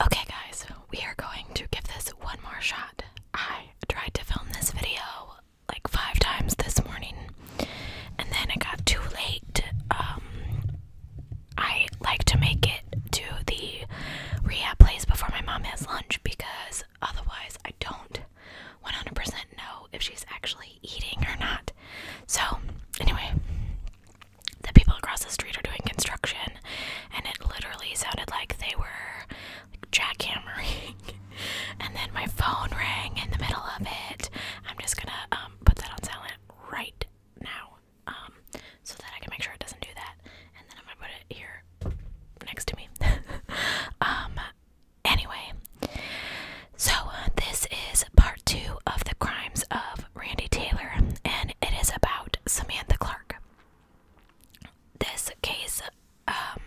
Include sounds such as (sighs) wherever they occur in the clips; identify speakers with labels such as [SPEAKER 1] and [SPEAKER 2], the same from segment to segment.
[SPEAKER 1] Okay, guys, we are going to give this one more shot. I tried to film this video like five times this morning, and then it got too late. Um, I like to make it to the rehab place before my mom has lunch because otherwise I don't 100% know if she's actually eating or not. So, anyway, the people across the street are doing construction, and it literally sounded like they were like, jackhammering. (laughs) and then my phone rang in the middle of it. I'm just gonna um, put that on silent right now um, so that I can make sure it doesn't do that. And then I'm gonna put it here next to me. (laughs) um, anyway, so uh, this is part two of the crimes of Randy Taylor, and it is about Samantha Clark. This case, um,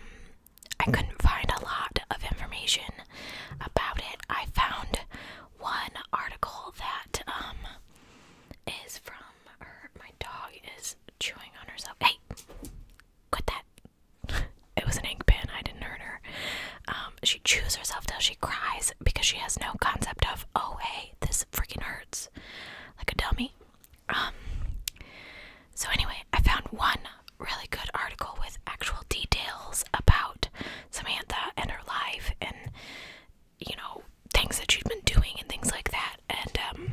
[SPEAKER 1] I couldn't find a lot of information about it. I found one article that um is from her. My dog is chewing on herself. Hey, quit that! It was an ink pen. I didn't hurt her. Um, she chews herself till she cries because she has no concept of oh, hey this freaking hurts like a dummy. Um, so, anyway, I found one really good article with actual details about Samantha and her life and, you know, things that she'd been doing and things like that. And, um,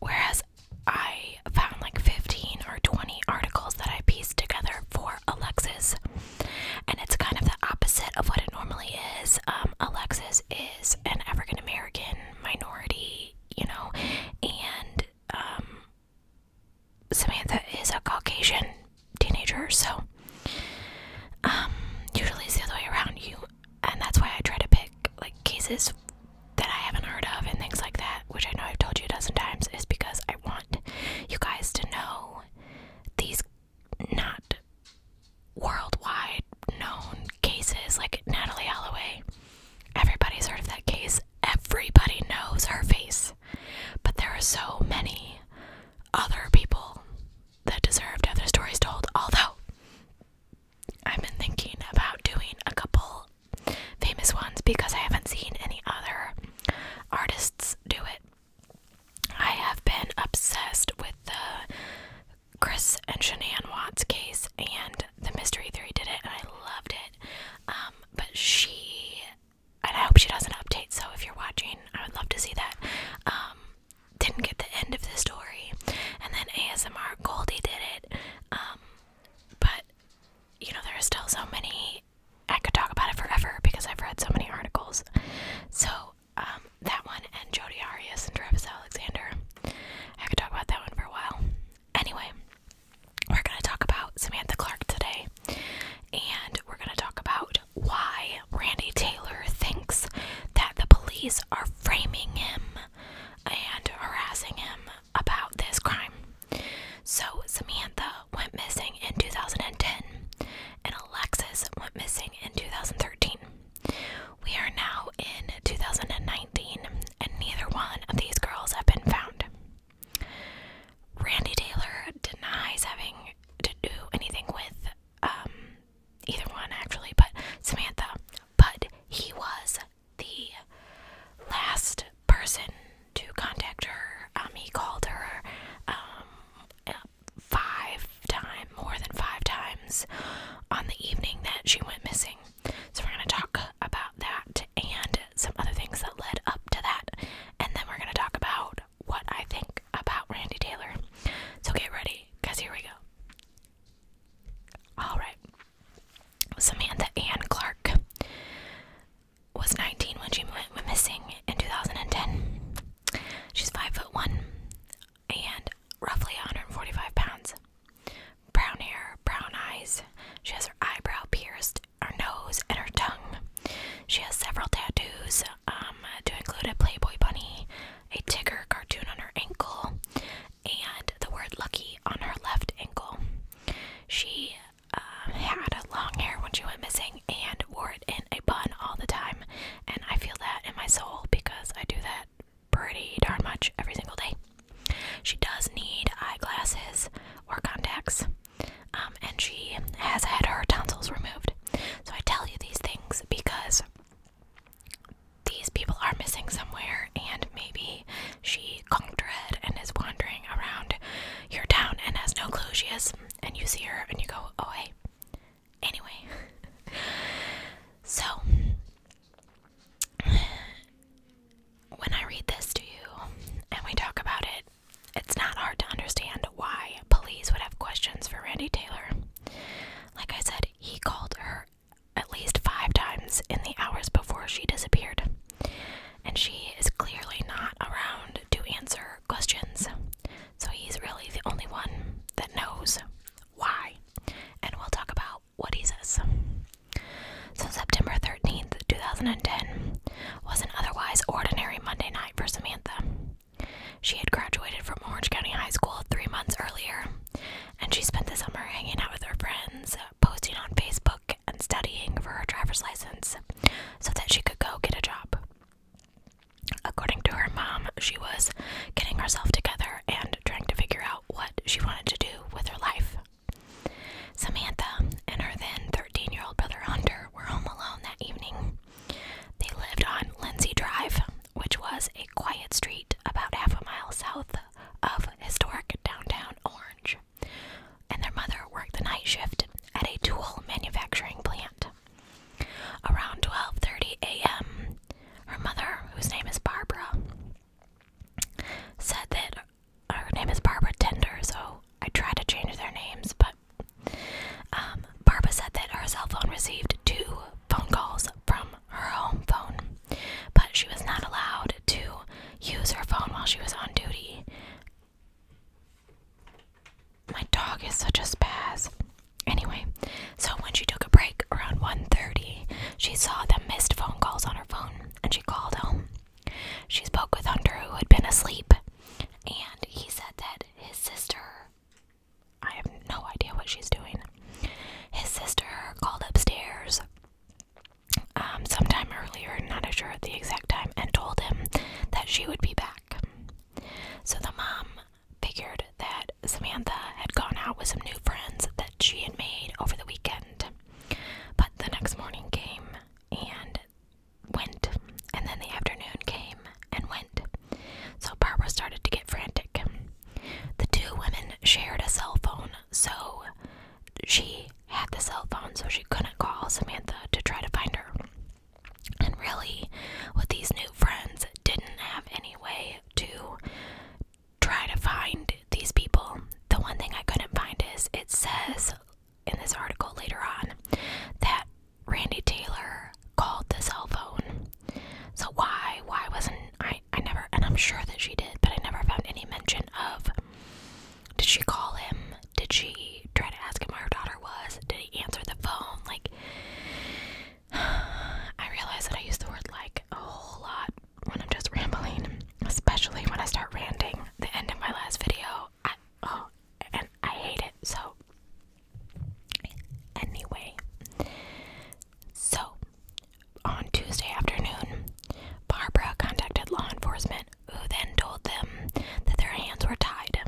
[SPEAKER 1] whereas I found like 15 or 20 articles that I pieced together for Alexis and it's kind of the opposite of what it normally is. Um, Alexis is an African American minority, you know, and um, Samantha is a Caucasian teenager, so um, usually it's the other way around. You, and that's why I try to pick like cases that I haven't heard of and things like that, which I know I've told you a dozen times, is because I want you guys to know these not worldwide known cases like Natalie Holloway. Everybody's heard of that case. Everybody knows her face. But there are so many other people that deserve to have their stories told. Although, I've been thinking about doing a couple famous ones because I haven't seen any other artists do it. I have been obsessed with the Chris and Shanann Watts case and the Mystery Theory did it and I loved it. Um, but she, and I hope she does an update, so if you're watching, I would love to see that. Um, didn't get the end of the story. And then ASMR Goldie did it. Um, but, you know, there are still so many. I could talk about it forever because I've read so many articles. So um, that one and Jodi Arias and Travis Alexander. I could talk about that one for a while. Anyway, we're going to talk about Samantha Clark today, and we're going to talk about why Randy Taylor thinks that the police are framing him and harassing him about this crime. So, Samantha went missing in 2010, and Alexis went missing in 2013. We are now in 2019, and neither one of these girls have been found. Randy Taylor denies having to do anything with um, either one, actually, but Samantha. But he was the last person to contact her. Um, he called her um, five times, more than five times, on the evening that she went missing. So we're going to talk about that and some other things that led up to that, and then we're going to talk about what I think about Randy Taylor. So get ready, because here we go. Alright. Samantha Ann Clark was 19 when she went missing in 2010. She's five foot one and roughly 145 pounds. Brown hair, brown eyes. She has her eyebrow pierced, her nose, and her tongue. She has several tattoos, um, to include a Playboy bunny, a tiger cartoon on her ankle, and the word "lucky" on her left ankle. She um, had long hair when she went missing, and wore it in a bun all the time. And I feel that in my soul because I do that pretty darn much every single day. She does need eyeglasses or contacts, um, and she has had her tonsils removed. So I tell you these things because these people are missing somewhere, and maybe she conked her head and is wandering around your town and has no clue she is. And you see her and you go, Oh, hey, Anyway, (laughs) so when I read this to you and we talk about it, it's not hard to understand why police would have questions for Randy Taylor. Like I said, he called her at least five times in the hours before she disappeared, and she is clearly not around to answer questions. So he's really the only one that knows why. And we'll talk about what he says. So September 13th, 2010 was an otherwise ordinary Monday night for Samantha. She had graduated from Orange County High School three months earlier, and she spent the summer hanging out with her friends, posting on Facebook, and studying for her driver's license so that she could go get a job. According to her mom, she was getting herself together and trying to figure out what she wanted to do with her life. Samantha and her then 13 year old brother Hunter were home alone that evening. They lived on Lindsay Drive, which was a quiet street about half a mile south of historic downtown Orange, and their mother worked the night shift at a tool manufacturing plant. Around 12:30 a.m., her mother, whose name is Barbara, said that her name is Barbara Tender, so I tried to change their names, but um, Barbara said that her cell phone received two phone calls from her home phone, but she was not allowed to use her phone while she was on duty. My dog is such a spaz. Anyway, so when she took a break around 1:30, she saw the missed phone calls on her phone and she called home. She spoke with Hunter who had been asleep and he said that his sister I have no idea what she's doing. His sister called upstairs um, sometime earlier, not sure at the exact time, and told him that she would be back. So the mom figured that Samantha had gone out with some new friends that she had made over the weekend. But the next morning came and went, and then the afternoon came and went. So Barbara started to get frantic. The two women shared a cell phone, so she had the cell phone, so she couldn't call Samantha to try to find her. And really, with these new friends, didn't have any way to try to find these people. The one thing I couldn't find is it says in this article later on that Randy Taylor called the cell phone. So why? Why wasn't I? I never, and I'm sure that she did, but I never found any mention of. Did she call him? Did she try to ask him where her daughter was? Did he answer the phone? Like, (sighs) I realize that I use the word like a whole lot when I'm just rambling, especially when I start ranting. The end of my last video, I, oh, and I hate it. So, anyway, so on Tuesday afternoon, Barbara contacted law enforcement, who then told them that their hands were tied,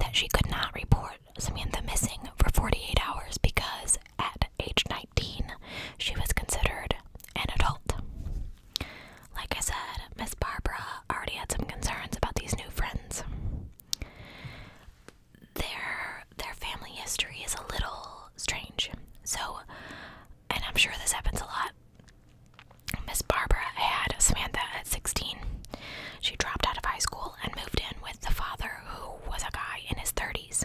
[SPEAKER 1] that she could not report Samantha missing for 48 hours because at age 19 she was considered an adult. Like I said, Miss Barbara already had some concerns about these new friends. Their their family history is a little strange. So, and I'm sure this happens a lot. Miss Barbara had Samantha at 16 she dropped out of high school and moved in with the father, who was a guy in his 30s.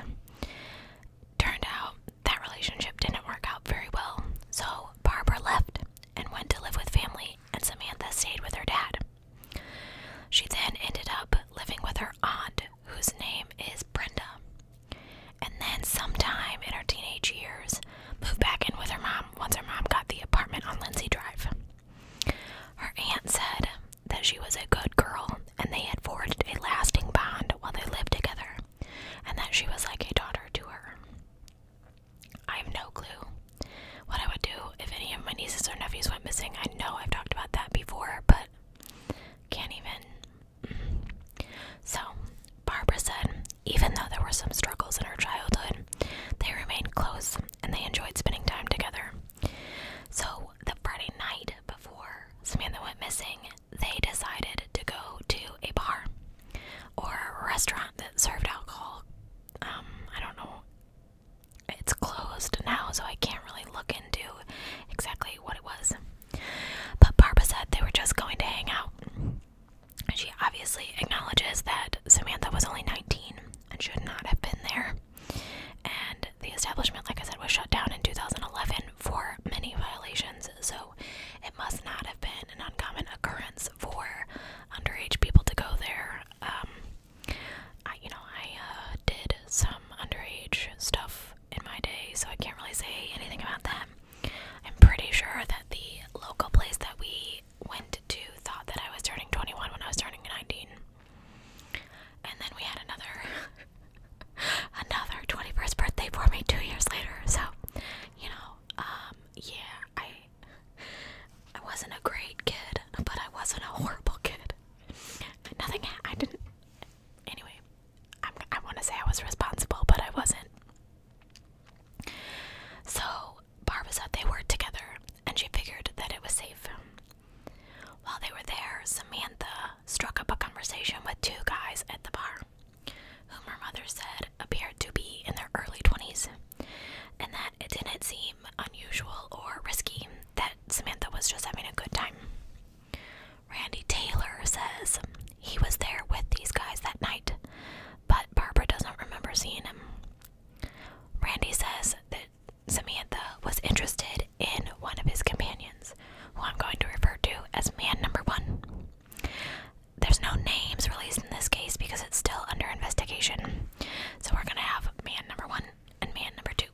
[SPEAKER 1] Turned out that relationship didn't work out very well, so Barbara left and went to live with family, and Samantha stayed with her dad. She then ended up living with her aunt, whose name is Brenda. And then, sometime in her teenage years, moved back in with her mom once her mom got the apartment on Lindsay Drive. Her aunt said that she was a good girl and they had forged a lasting bond while they lived together, and that she was like a daughter to her. I have no clue what I would do if any of my nieces or nephews went missing. I know I've talked about that before, but can't even. So, Barbara said, even though there were some struggles in her childhood, they remained close and they enjoyed spending time together. So the Friday night before Samantha went missing, they decided to go to a bar or a restaurant that served alcohol. Um, I don't know. It's closed now, so I can't really look into exactly what it was. But Barbara said they were just going to hang out. She obviously acknowledges that Samantha was only 19 and should not have been there. And the establishment, like I said, was shut down in 2011 for many violations, so it must not have been an uncommon occurrence for underage people to go there. Um, you know, I uh, did some underage stuff in my day, so I can't really say anything about them. I'm pretty sure that the local place that we went to thought that I was turning 21 when I was turning 19. And then we had another (laughs) another 21st birthday for me 2 years later. So, you know, um, yeah, I I wasn't a great kid, but I wasn't a horrible kid. Nothing I didn't Anyway, i I want to say I was responsible, but I wasn't. So, Barbara said they were together and she figured that it was safe. While they were there, Samantha struck up a conversation with two guys at the bar, whom her mother said appeared to be in their early 20s, and that it didn't seem unusual or risky that Samantha was just having a good time. Randy Taylor says he was there with these guys that night, but Barbara doesn't remember seeing him. Randy says that Samantha was interested in one of his companions, who I'm going to refer to as man number one. There's no names released in this case because it's still under investigation. So we're going to have man number one and man number two.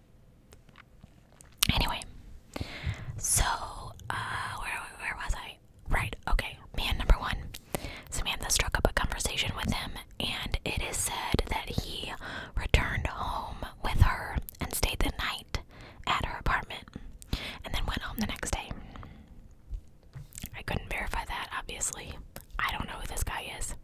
[SPEAKER 1] Anyway, so uh, where, where was I? Right, okay. Man number one. Samantha struck up a conversation with him and it is said that he returned home with her and stayed the night at her apartment and then went home the next day. I couldn't verify that, obviously. I don't know who this guy is.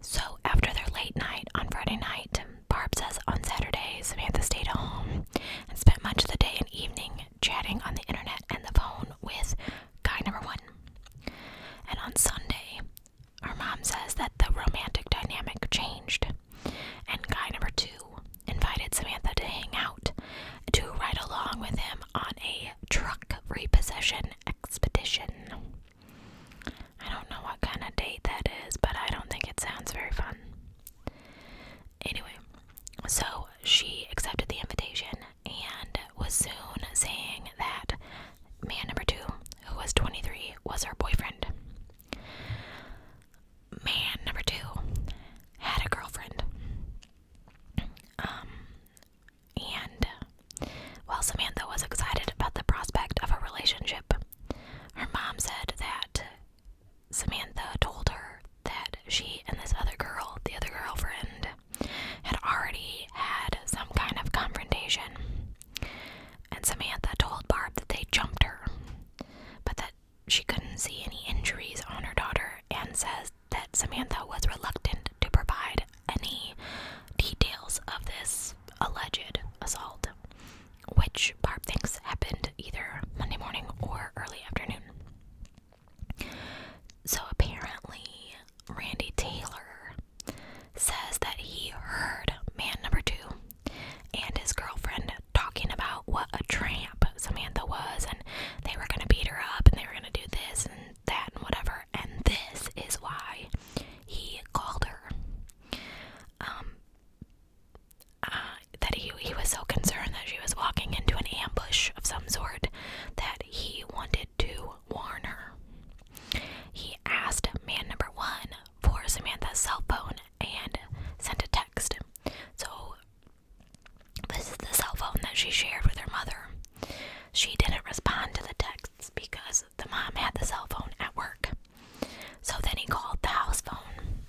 [SPEAKER 1] So, after their late night on Friday night, Barb says on Saturday, Samantha stayed home and spent much of the day and evening chatting on the internet and the phone with guy number one. And on Sunday, our mom says that the romantic dynamic changed, and guy number two invited Samantha to hang out to ride along with him on a truck repossession expedition. I don't know what kind of date that is, but I don't think it sounds very fun. Anyway, so she accepted the invitation and was soon saying that man number two, who was 23, was her boyfriend. Man number two had a girlfriend. Um, and while Samantha was excited about the prospect of a relationship, her mom said that Samantha told her that she and this other girl, the other girlfriend, had already had some kind of confrontation, and Samantha told Barb that they jumped her, but that she couldn't see any injuries on her daughter and says that Samantha was reluctant to provide any details of this alleged assault, which Barb thinks happened either Monday morning or early afternoon. So apparently, Randy Taylor says that he heard man number two and his girlfriend talking about what a tramp Samantha was, and they were gonna beat her up, and they were gonna do this and that and whatever. And this is why he called her. Um, uh, that he he was so concerned that she was walking into an ambush of some sort that he wanted to Warner. He asked man number one for Samantha's cell phone and sent a text. So, this is the cell phone that she shared with her mother. She didn't respond to the texts because the mom had the cell phone at work. So then he called the house phone.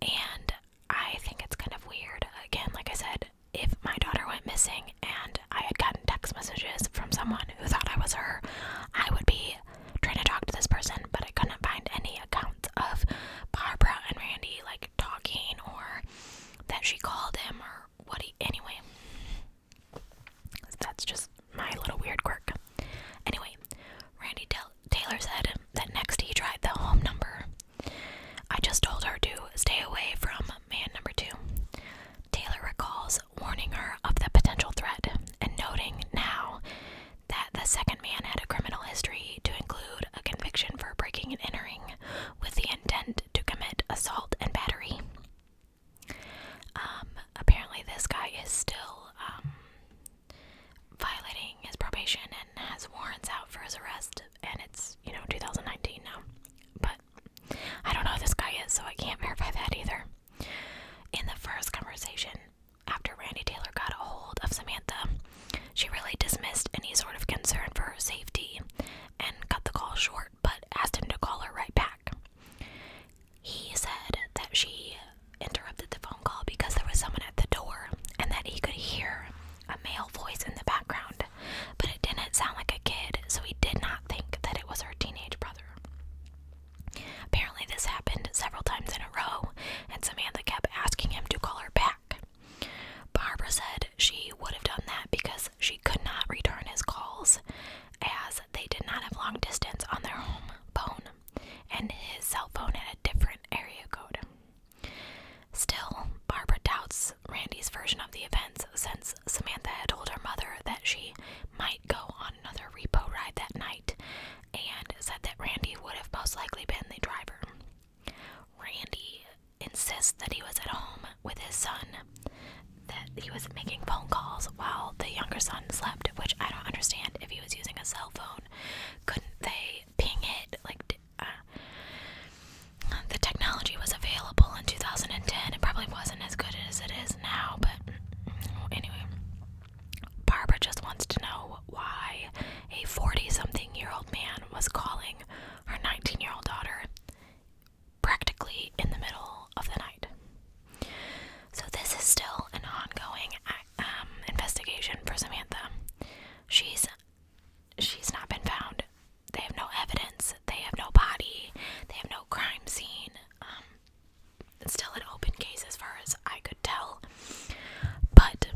[SPEAKER 1] And I think it's kind of weird. Again, like I said, if my daughter went missing and I had gotten text messages from someone who thought I was her, I would be trying to talk to this person, but I couldn't find any account of Barbara and Randy like talking or that she called him or what Anyway, that's just my little weird quirk. Anyway, Randy Taylor said that next he tried the home number. I just told her to stay away from man number two. Taylor recalls warning her of the potential threat and noting now that the second man had a criminal history to include a conviction for breaking and entering with the intent to commit assault and battery. Um, apparently, this guy is still um, violating his probation and has warrants out for his arrest, and it's, you know, 2019 now. But I don't know who this guy is, so I can't verify that either. In the first conversation, after Randy Taylor got a hold of Samantha, she really dismissed any sort of concern for her safety and cut the call short, but asked him to call her right back. He said that she interrupted the phone call because there was someone at the door and that he could hear a male voice in the background, but it didn't sound like a kid, so he did not think that it was her teenage brother. Apparently, this happened several times in a row, and Samantha kept asking him to call her back. Barbara said she would have done that because she could not return his calls as they did not have long distance on their home phone, and his cell phone had a different area code. Still, Barbara doubts Randy's version of the events since Samantha told her mother that she they might go on another repo ride that night and said that Randy would have most likely been the driver. Randy insists that he was at home with his son, that he was making phone calls while the younger son slept, which I don't understand if he was using a cell phone. Couldn't they ping it? Like, uh, the technology was available in 2010, it probably wasn't as good as it is now, but anyway. Barbara just wants to know why a 40 something year old man was calling her 19 year old daughter practically in the middle of the night. So, this is still an ongoing um, investigation for Samantha. She's she's not been found. They have no evidence. They have no body. They have no crime scene. Um, still an open case as far as I could tell. But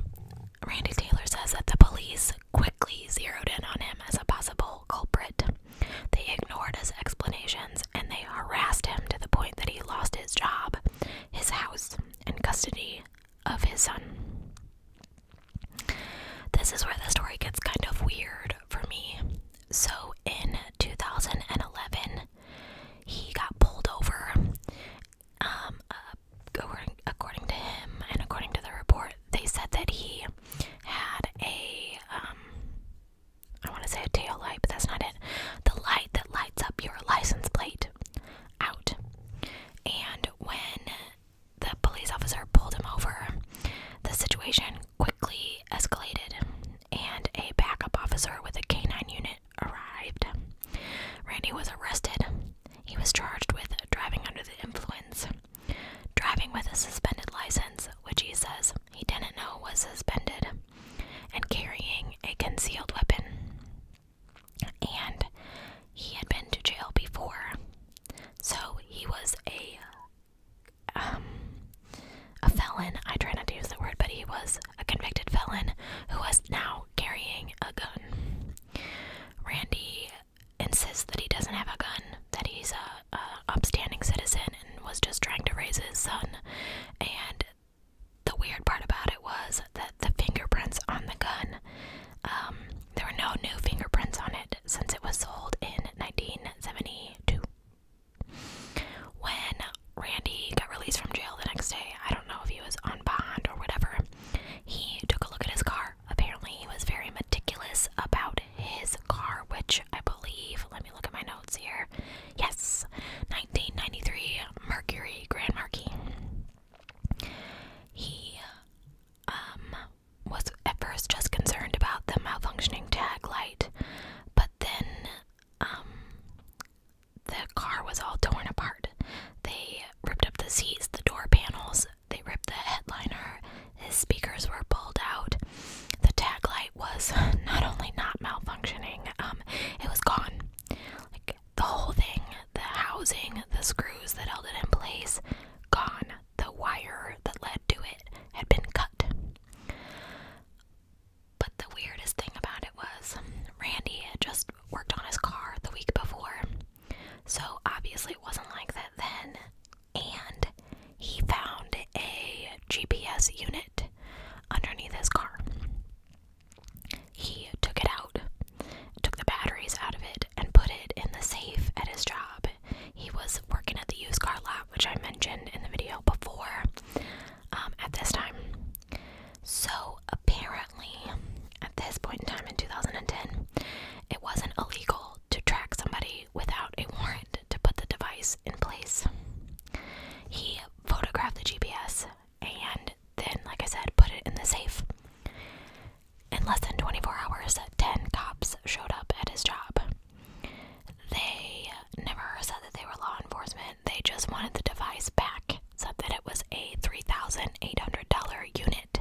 [SPEAKER 1] Randy Taylor says that the police quickly zeroed in on him as a possible culprit. They ignored his explanations and they harassed him to the point that he lost his job, his house, and custody of his son. This is where the story gets kind of weird for me. So in 2011, he got pulled over. Um, uh, according to him and according to the report, they said that he had a um, I want to say a tail light, but that's not it. The light that lights up your license plate out. And when the police officer pulled him over, the situation quickly escalated and a backup officer with a K9 unit arrived. Randy was arrested. He was charged with driving under the influence, driving with a suspended license, which he says he didn't know was suspended, and carrying a concealed weapon. And he had been to jail before, so he was a a felon. I try not to use the word, but he was a convicted felon who was now carrying a gun. Randy insists that he doesn't have a gun, that he's a, upstanding citizen and was just trying to raise his son. And the weird part about it was that the fingerprints on the gun, um, there were no new fingerprints on it since it was sold in 1972. When Randy got released from jail the next day, I don't know if he was on bond or whatever, he took a look at his car. Apparently, he was very meticulous about his car, which I believe, let me look at my notes here. Yes, 1993 Mercury Grand Marquis. He um, was at first just concerned about the malfunctioning tag light, but then um, the car was all torn apart. They ripped up the seats, the door panels, they ripped the headliner, his speakers were pulled out. The tag light was (laughs) not only not malfunctioning, um, it was gone. Like the whole thing, the housing, the screws that held it in place, gone. The wire that led to it had been cut. But the weirdest thing about it was Randy had just worked on his car the week before. So obviously it wasn't like that then. And he found a GPS unit underneath his car. He took it out, took the batteries out of it, and put it in the safe at his job. He was working at the used car lot which I mentioned in the video before um, at this time. So, apparently, at this point in time in 2010, it wasn't illegal to track somebody without a warrant to put the device in place. He photographed the GPS and then, like I said, put it in the safe. In less than 24 hours, 10 cops showed up at his job. They never said that they were law enforcement. They just wanted the device back. Said that it was a $3,800 unit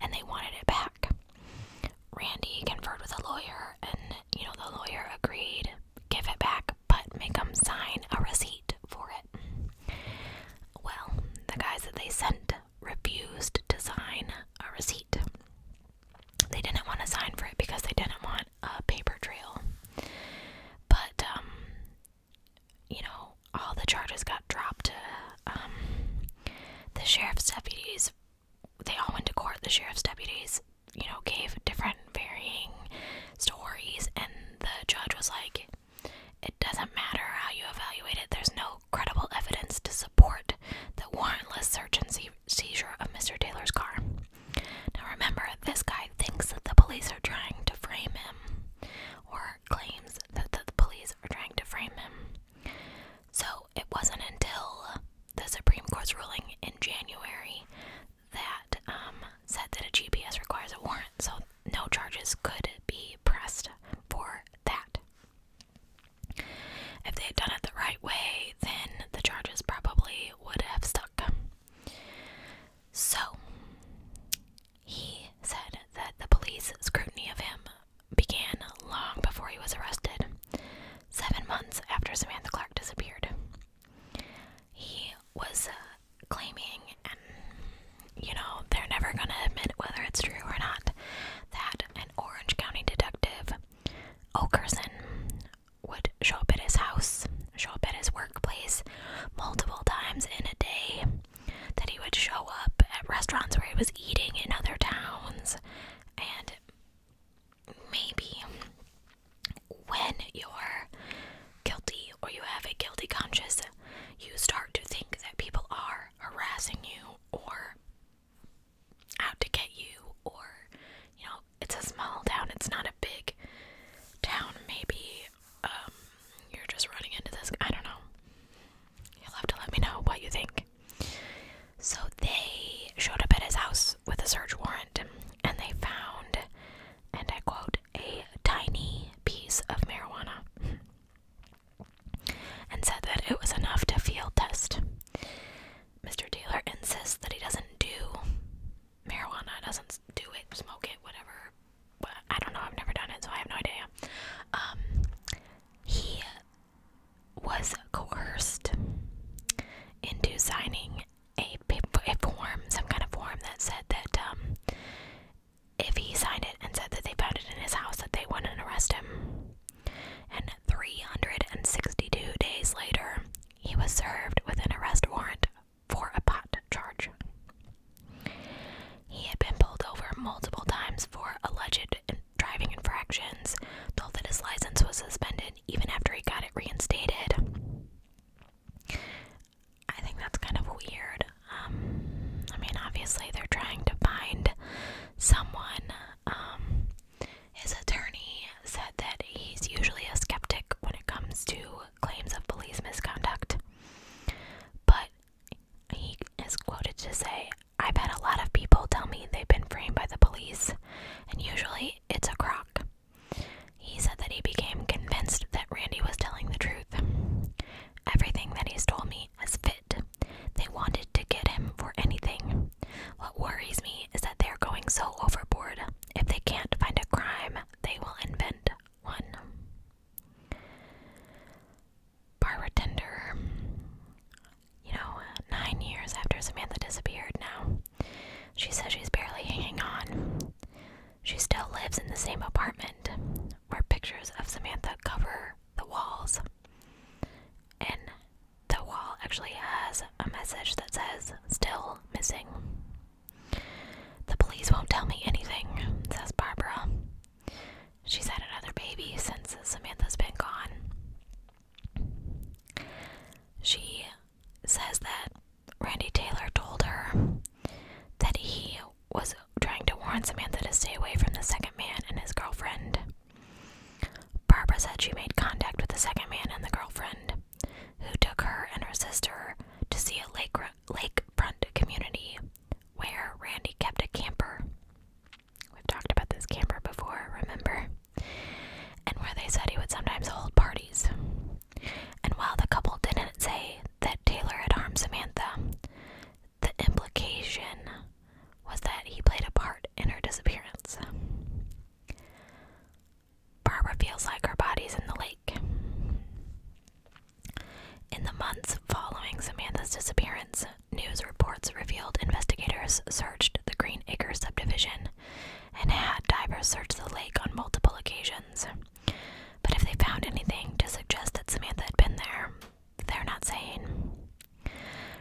[SPEAKER 1] and they wanted it back. Randy conferred with a lawyer and, you know, the lawyer agreed give it back but make them sign a receipt for it. Well, the guys that they sent refused to sign a receipt. They didn't want to sign for it because they didn't want a paper trail. But, um, you know, all the charges got dropped. Um, the sheriff's deputies, they all went to court. The sheriff's deputies, you know, gave different varying stories, and the judge was like, it doesn't matter how you evaluate it, there's no credible evidence to support the warrantless search and seizure of Mr. Taylor's car. Now remember, this guy thinks that the police are trying to frame him, or claims that the police are trying to frame him. So it wasn't until the Supreme Court's ruling in January that um, said that a GPS requires a warrant, so no charges could be pressed for that. If they had done it the right way, then the charges probably would have stuck. So, he said that the police scrutiny of him began long before he was arrested, seven months after Samantha Clark disappeared. He was uh, claiming, and you know, they're never gonna admit whether it's true or not, that an Orange County detective, Okerson, would show up at his house, show up at his workplace multiple times in a day, that he would show up at restaurants where he was eating in other towns. And maybe when you're guilty or you have a guilty conscience, you start to think that people are harassing you or out to get you or, you know, it's a small town it's not a big town maybe um, you're just running into this i don't know you'll have to let me know what you think so they showed up at his house with a search warrant and they found and i quote a tiny piece of marijuana and said that it was enough to field test mr taylor insists that he doesn't do marijuana doesn't do it, smoke it, whatever. I don't know, I've never done it, so I have no idea. Um, he was coerced into signing a, a form, some kind of form that said that um, if he signed it and said that they found it in his house, that they wouldn't arrest him. And 362 days later, he was served with an arrest warrant for a pot charge. He had been pulled over multiple times for alleged driving infractions, told that his license was suspended even after he got it reinstated. I think that's kind of weird. Um, I mean, obviously, they're trying to find someone um, his attorney said that he's usually a skeptic when it comes to claims of police misconduct, but he is quoted to say, I've had a lot of people tell me they've been framed by the police, and usually it's a crock. He said that he became convinced that Randy was telling the truth. Everything that he's told me has fit. They wanted to get him for anything. What worries me is that they're going so overboard. If they can't find a crime, they will invent one. tender, You know, nine years after Samantha disappeared now, she says she's barely hanging on. She still lives in the same apartment where pictures of Samantha cover the walls. And the wall actually has a message that says, Still missing. The police won't tell me anything, says Barbara. She's had another baby since Samantha's been gone. She says that Randy Taylor told her that he was trying to warn Samantha to stay away from the second man and his girlfriend. Barbara said she made contact with the second man and the girlfriend who took her and her sister to see a lake lakefront community where Randy kept a camper. We've talked about this camper before, remember? And where they said he would sometimes hold parties. And while the couple didn't say that Taylor had harmed Samantha, the implication was that he played a part in her disappearance. Barbara feels like her body's in the lake. In the months following Samantha's disappearance, news reports revealed investigators searched the Green Acres subdivision and had divers search the lake on multiple occasions. But if they found anything to suggest that Samantha had been there, they're not saying.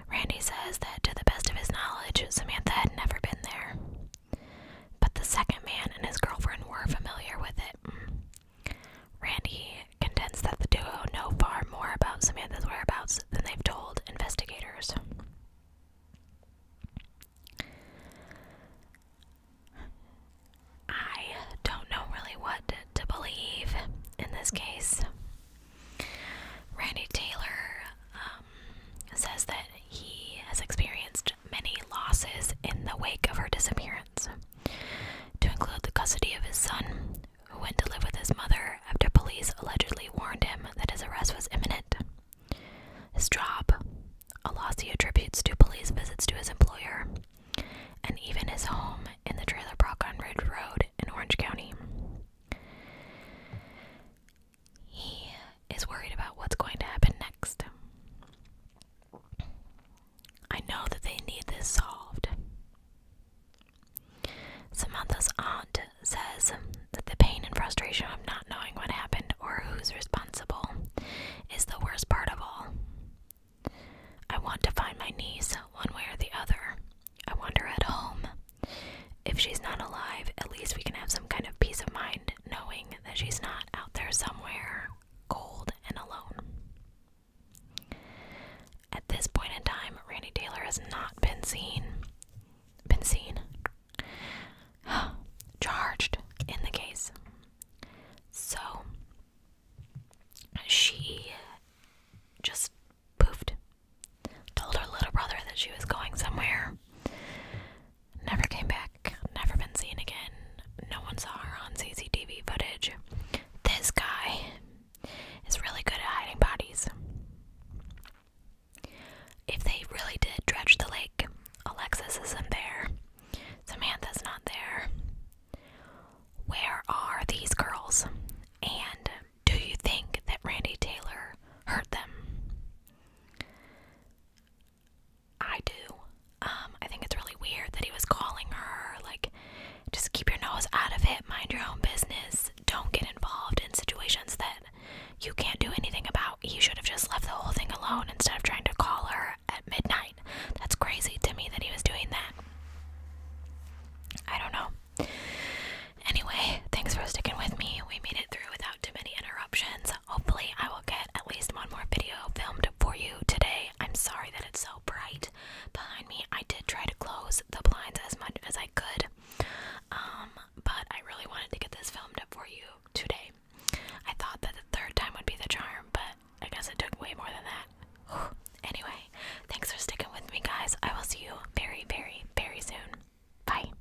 [SPEAKER 1] Randy says that to the best of his knowledge, Samantha had never been there. But the second man and his girlfriend were familiar with it. Randy contends that the duo know far more about Samantha's whereabouts than they've told investigators. I don't know really what to believe in this case. Randy Taylor um, says that he has experienced many losses in the wake of her disappearance, to include the custody of his son, who went to live with his mother after police allegedly warned him that his arrest was imminent. His job, a loss he attributes to police visits to his employer, and even his home in the trailer park on Ridge Road in Orange County. He is worried about what's going to happen next. I know that they need this solved. Samantha's aunt says that the pain and frustration of not knowing what happened or who's responsible is the worst part of all. I want to find my niece one way or the other. I wonder at home. If she's not alive, at least we can have some kind of peace of mind knowing that she's not out there somewhere cold and alone. At this point in time, Randy Taylor has not been seen been seen (sighs) charged in the case. So she just poofed. Told her little brother that she was going somewhere. Never came back, never been seen again. No one saw her on CCTV footage. This guy is really good at hiding bodies. If they really did dredge the lake, Alexis isn't there, Samantha's not there. Where are these girls? And do you think that Randy Taylor hurt them? I do. Um, I think it's really weird that he was calling her, like, just keep your nose out of it, mind your own business, don't get involved in situations that you can't do anything about. He should have just left the whole thing alone instead of trying to call her at midnight. That's crazy to me that he was doing that. I don't know. Anyway, thanks for sticking with me. We made it through without too many interruptions hopefully I will get at least one more video filmed for you today. I'm sorry that it's so bright behind me. I did try to close the blinds as much as I could, um, but I really wanted to get this filmed for you today. I thought that the third time would be the charm, but I guess it took way more than that. (sighs) anyway, thanks for sticking with me, guys. I will see you very, very, very soon. Bye.